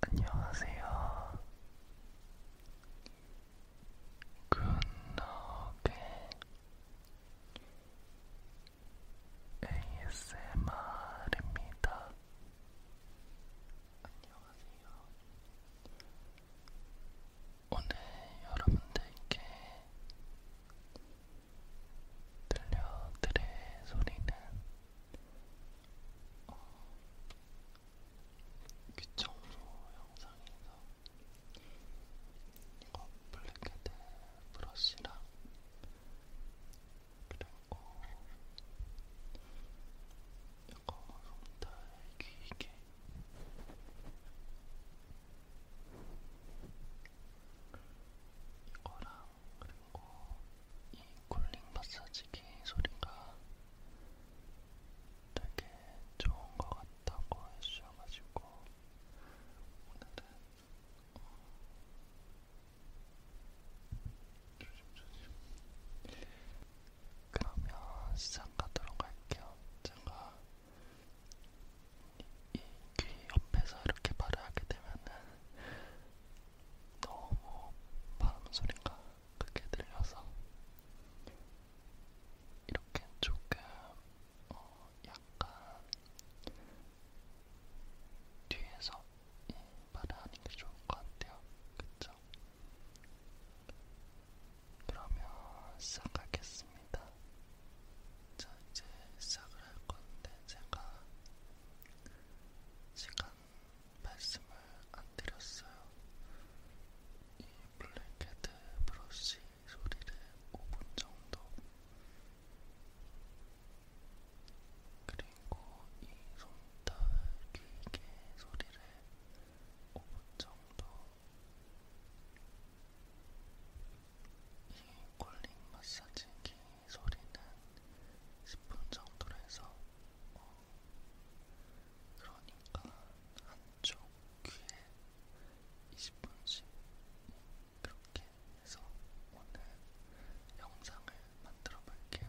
안녕하세요. 굿노게 ASMR입니다. 안녕하세요. 오늘 여러분들께 들려드릴 소리는 어, 귀청소 영상에서 이거 블랙헤드 브러쉬랑 그리고 약간 손달 길게 이거랑 그리고 이 쿨링 마사지기 소리가 되게 좋은 것 같다고 해주셔가지고 오늘은 어, 그러면 시작하도록 할게요. 제가 이 귀 옆에서 이렇게 말을 하게 되면은 너무 바람 소리가 크게 들려서 이렇게 조금 어 약간 뒤에서 예, 말을 하는 게 좋을 것 같아요. 그쵸? 그러면 시작하겠습니다. 자, 이제 시작을 할 건데, 제가 시간 말씀을 안 드렸어요. 이 블랙헤드 브러쉬 소리를 5분 정도 그리고 이 손톱 길게 소리를 5분 정도 이 콜링 마사지기 소리는 10분 정도로 해서 어, 그러니까 한쪽 귀에 20분씩 그렇게 해서 오늘 영상을 만들어 볼게요.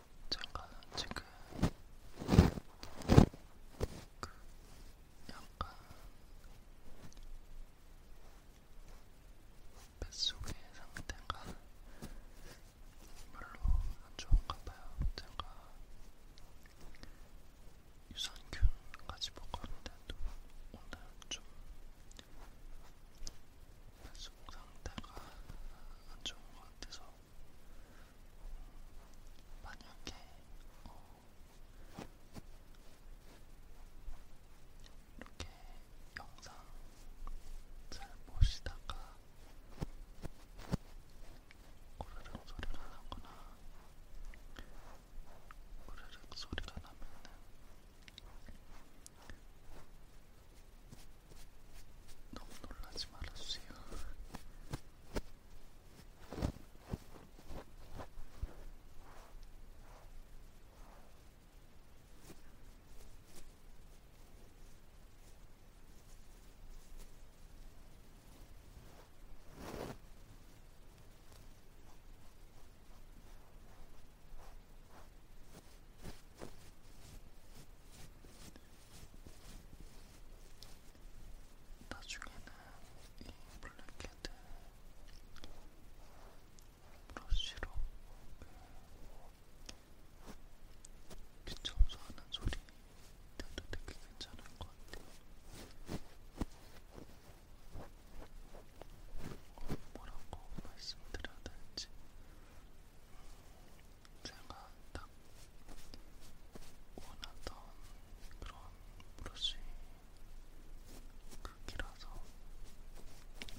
제가 지금 그 약간 뱃속의 상태가 별로 안 좋은가 봐요. 제가 유산균까지 먹었는데도 오늘 좀 뱃속 상태가 안 좋은 것 같아서 만약에 어, 이렇게 영상 잘 보시다가 꼬르륵 소리가 나거나 꼬르륵 소리가 나면은 너무 놀라지 말아주세요. 나중에는 이 블랙헤드 브러쉬로 귀청소하는 소리 때도 되게 괜찮을 것 같아요. 뭐라고 말씀드려야 될지 제가 딱 원하던 그런 브러쉬 크기라서 이게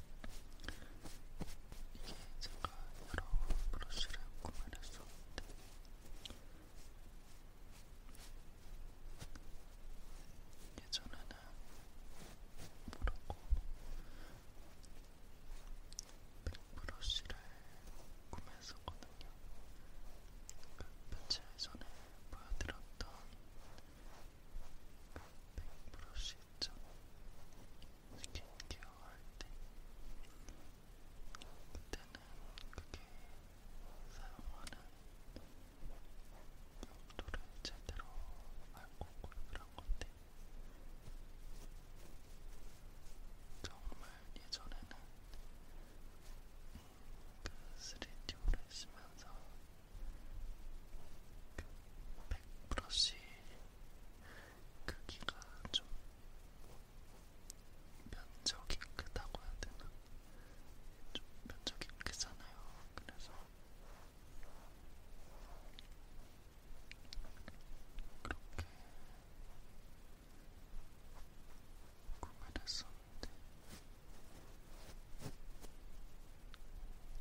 제가 여러 브러쉬를 구매를 했었는데 예전에는 모르고 빅브러쉬를 구매했었거든요. 그 며칠 전에 보여드렸던 그 빅브러쉬 있죠? 스킨케어 할때 그때는 그게 사용하는 용도를 제대로 알고 구입을 한 건데 정말 예전에는 그 3D로 쓰면서 그 백브러쉬 크기가 좀 면적이 크다고 해야 되나? 좀 면적이 크잖아요. 그래서 그렇게 구매했었는데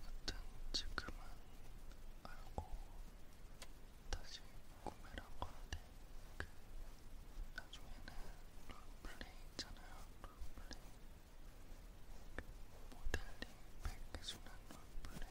하여튼 지금은 알고 다시 구매를 한 건데 그 나중에는 롤플레이 있잖아요 롤플레이 그 모델링 백해주는 롤플레이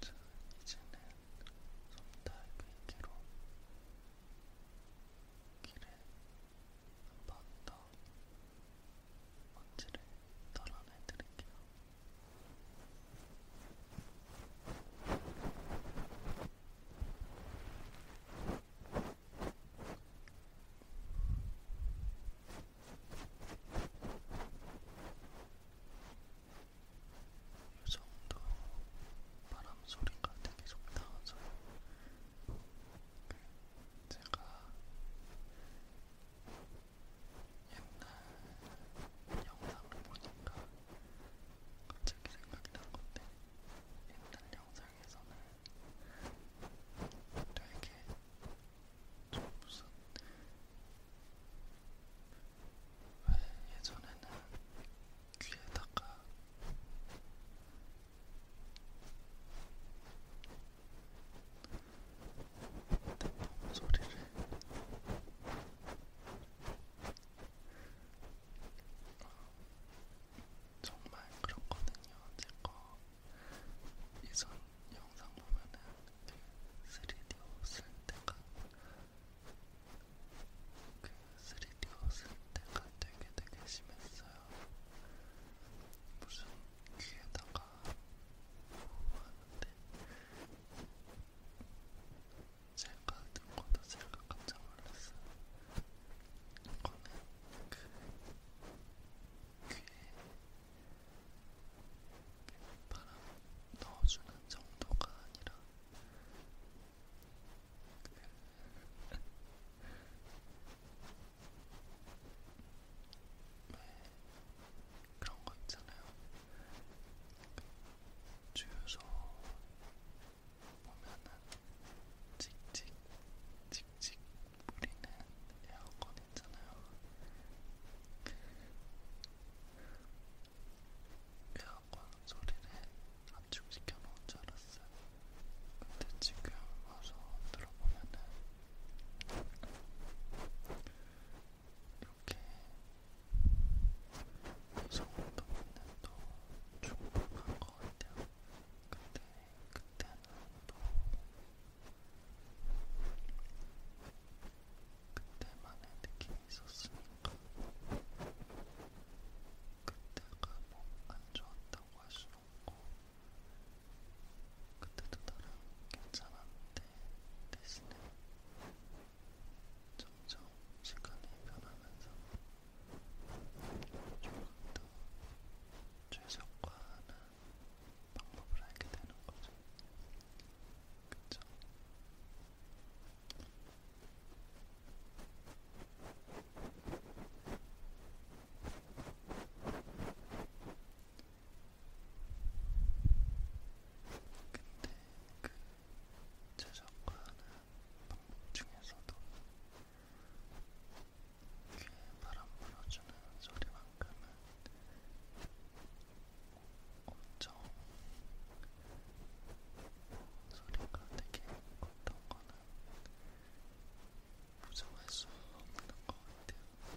자, 이제는 솜타입의기로 길에 한번더 먼지를 덜어내드릴게요. 자, 이 정도 바람 소리가 되게 좀 나와서 그 제가 옛날 영상을 보니까 갑자기 생각이 난 건데 옛날 영상에서는 되게 좀 무슨 왜 예전에는 귀에다가 내몸 소리를 정말 그렇거든요. 제거 이전에 영상 보면은 3D 옷을 때가 그 3D 옷을 때가 되게 되게 심했어요. 무슨 귀에다가 하는데 제가 듣고도 제가 깜짝 놀랐어요. 이거는 그 귀에 바람 넣어주는 정도가 아니라 왜 네, 그런 거 있잖아요. 주유소 보면은 찍찍 찍찍 뿌리는 에어컨이 있잖아요. 에어컨 소리를 압축시켜 놓은 줄 알았어요. 근데 지금 와서 들어보면은 이렇게 소음도 있는도 충분한 것 같아요. 근데 그때는 또 그때만의 느낌이 있었으니까 그때가 뭐안 좋았다고 할순 없고 그때도 나름 괜찮았는데 대신에 점점 시간이 변하면서 조금 더 최적화하는 방법을 알게 되는 거죠. 그쵸? 근데 그 제작과 하는 방법 중에서도 귀에 바람 불어주는 소리만큼은 엄청 소리가 되게 컸던 거는 부정할 수 없는 것 같아요. 어,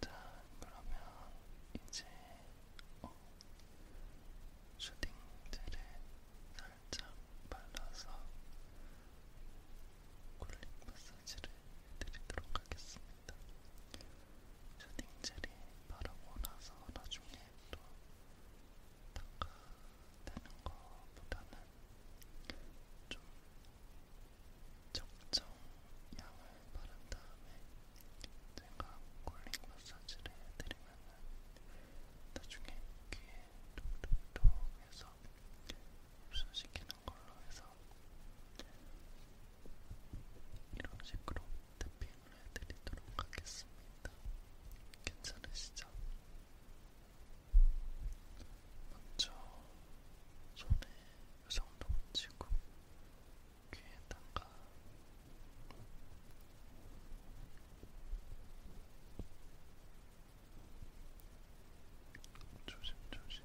자, 그러면 이제 어, 슈팅젤을 살짝 발라서 쿨링 마사지를 해드리도록 하겠습니다. 슈팅젤이 바르고 나서 나중에 또 닦아 되는 것보다는 좀 적정 양을 바른 다음에 제가 콜링 마사지를 해드리면 나중에 귀에 톡톡톡 해서 흡수시키는 걸로 해서 이런 식으로 탭핑을 해드리도록 하겠습니다. 괜찮으시죠? 먼저 손에 이 정도 묻히고 귀에다가 조심조심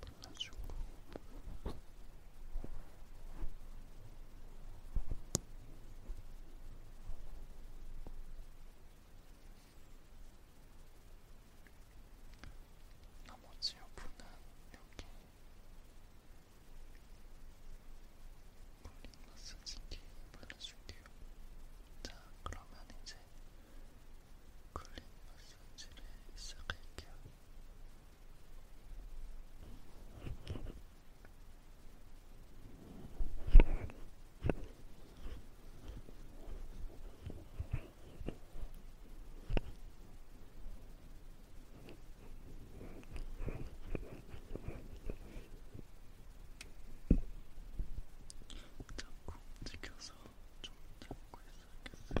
발라주고 나머지 여부는 여기 볼링 마사지기 발라줄게요. 자, 그러면 이제 클린 마사지를 시작할게요. 자꾸 움직여서 좀 잡고 있어야겠어요.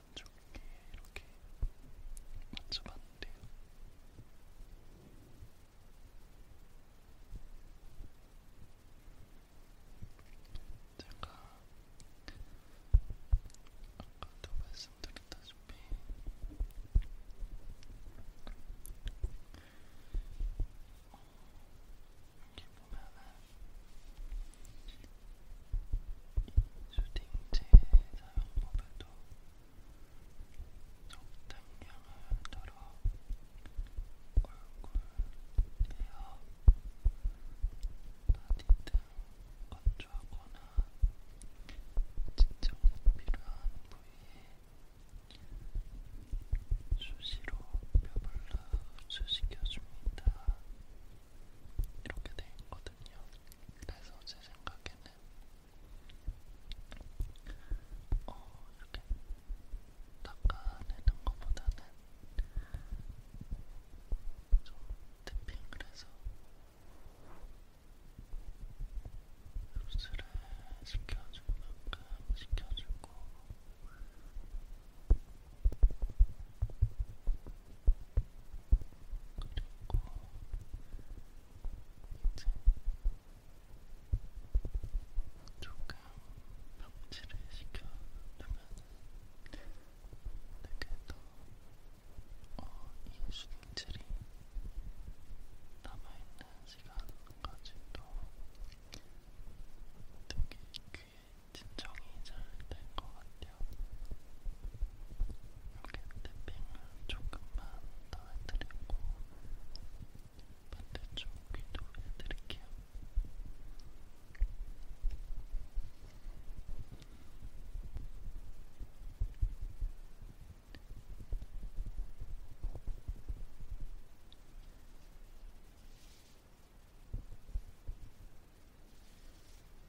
단조롭게 이렇게 만져봤는데요. 제가 아까도 말씀드렸다시피 어, 이게 보면은 슈팅제 사용법에도 적당량을 따라 꿀꿀해요. 어디 등 건조하거나 진정이 필요한 부위에 수시로 뼈를 흡수시켜줍니다. 이렇게 돼 있거든요. 그래서 제 생각에는 어, 이렇게 닦아내는 것보다는 좀 탭핑을 해서 흡수를 시켜줄 만큼 시켜주고 그리고 이제 조금 벽지를 시켜놓으면 되게 더이 어, 수분질이 남아있는 시간까지도 되게 귀에 진정이 잘 될 것 같아요. 탭핑을 조금만 더 해드리고 반대쪽 귀도 해드릴게요. 네,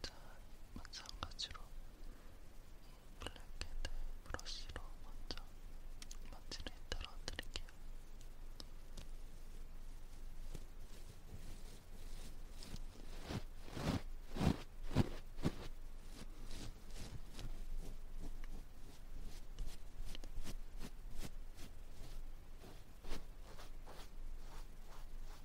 자, 마찬가지로 이 블랙헤드 브러쉬로 먼저 먼지를 떨어뜨릴게요. 자,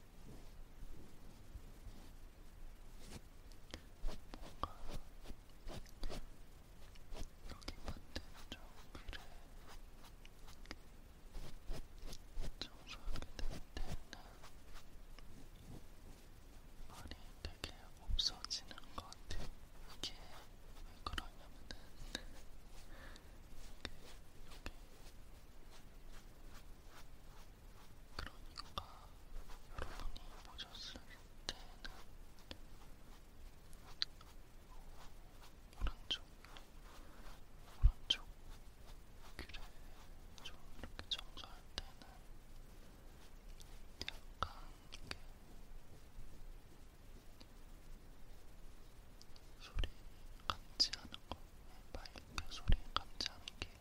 뭔가 여기 반대로 정리를 청소하게 될 때는 말이 되게 없어지는 것 같아요. 이게 왜 그러냐면은 이렇게 여기 그러니까 여러분이 보셨을 때는 오른쪽, 오른쪽 귀를 좀 이렇게 청소할 때는 약간 이렇게 소리 감지 않은 거, 네, 마이크 소리 감지 않은 게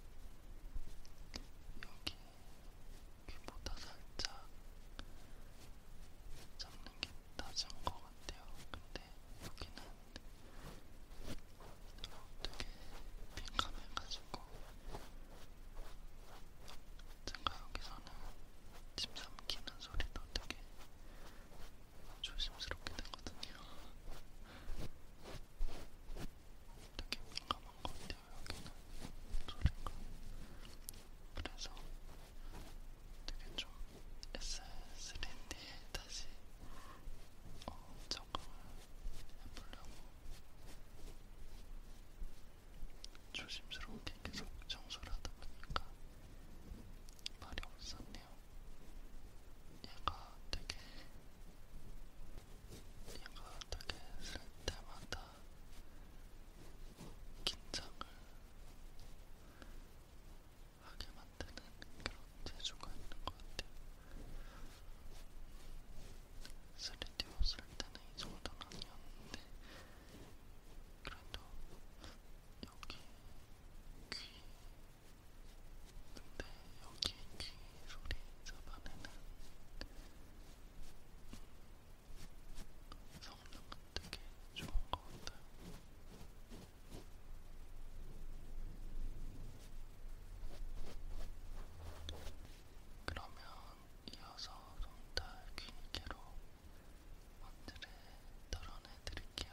여기 귀보다 살짝 잡는 게 낮은 것 같아요. 근데 여기는 되게 민감해가지고 제가 여기서는 침 삼키는 소리도 되게 조심스럽게 되거든요. 되게 민감한 것 같아요, 여기는. 소리가. 그래서 되게 좀 S3D에 다시 어, 적응을 해보려고 조심스럽게 계속 청소를 하다 보니까 말이 없었네요. 같아요. 얘가 되게, 얘가 되게 쓸 때마다 긴장을 하게 만드는 그런 재주가 있는 것 같아요. 3D 옷을 때는 이 정도는 아니었는데, 그래도 여기 귀 근데 여기 귀 소리 잡아내는 성능은 되게 좋은 것 같아요. 그러면 이어서 손달 귀니개로 먼지를 덜어내드릴게요.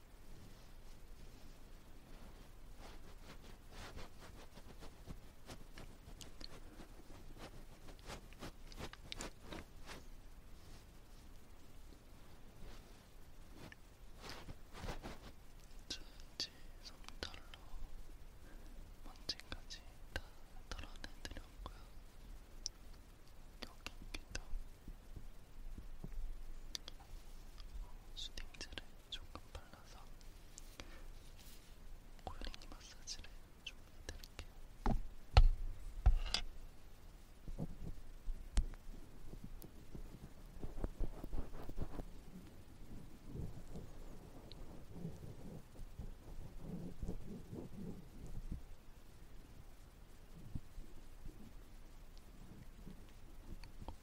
지 솜털로 먼지까지 다 털어내드렸고요. 여기 귀도 수딩젤을 조금 발라서 고양이 마사지를 좀 해드릴게요.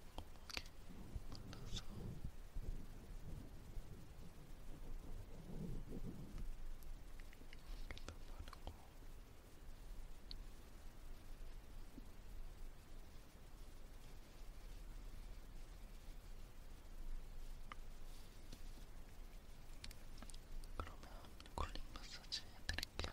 만나서 여기도 바르고 그러면 콜링 마사지 해드릴게요.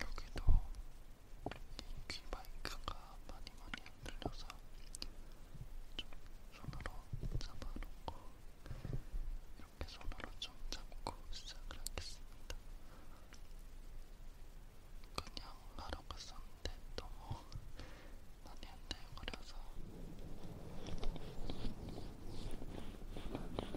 여기도 이귀 마이크가 많이 많이 안 들려서 좀 손으로 잡아놓고 이렇게 손으로 좀 잡고 시작을 하겠습니다. 그냥 하러 갔었는데 너무 많이 안들거려서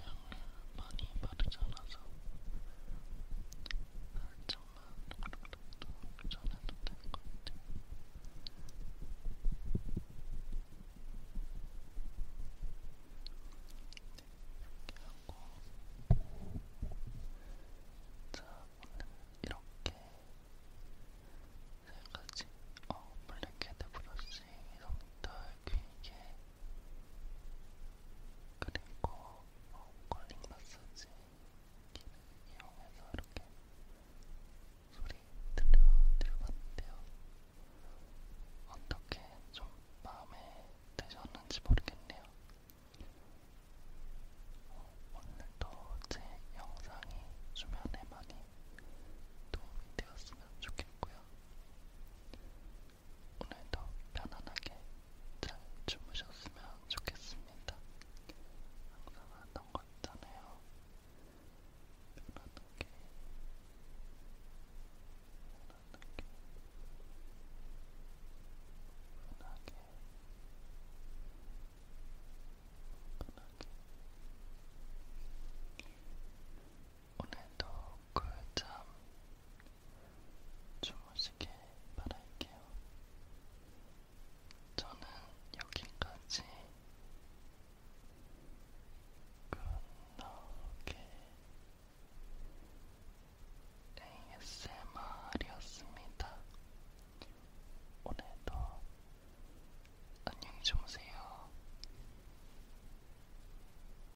양을 많이 바르지 않아서 살짝만 전해도 될 것 같아요. 이렇게 하고 자 오늘 이렇게 세 가지 어 블랙헤드 브러쉬, 솜털, 귀개, 그리고 컬링 마사지 기능 이용해서 이렇게 소리 들려드려봤는데요. 어떻게 좀 마음에 드셨는지 모르겠네요. 오늘도 제 영상이 주변에 많이 도움이 되었으면 좋겠고요. 오늘도 편안하게 잘 주무셨으면 좋겠습니다. 항상 하던 거 있잖아요. 편안하게, 편안하게, 편하게, 편하게. 오늘도 꿀잠 주무시길 바랄게요. 저는 여기까지 끝나게 ASMR이었습니다. 오늘도 안녕히 주무세요.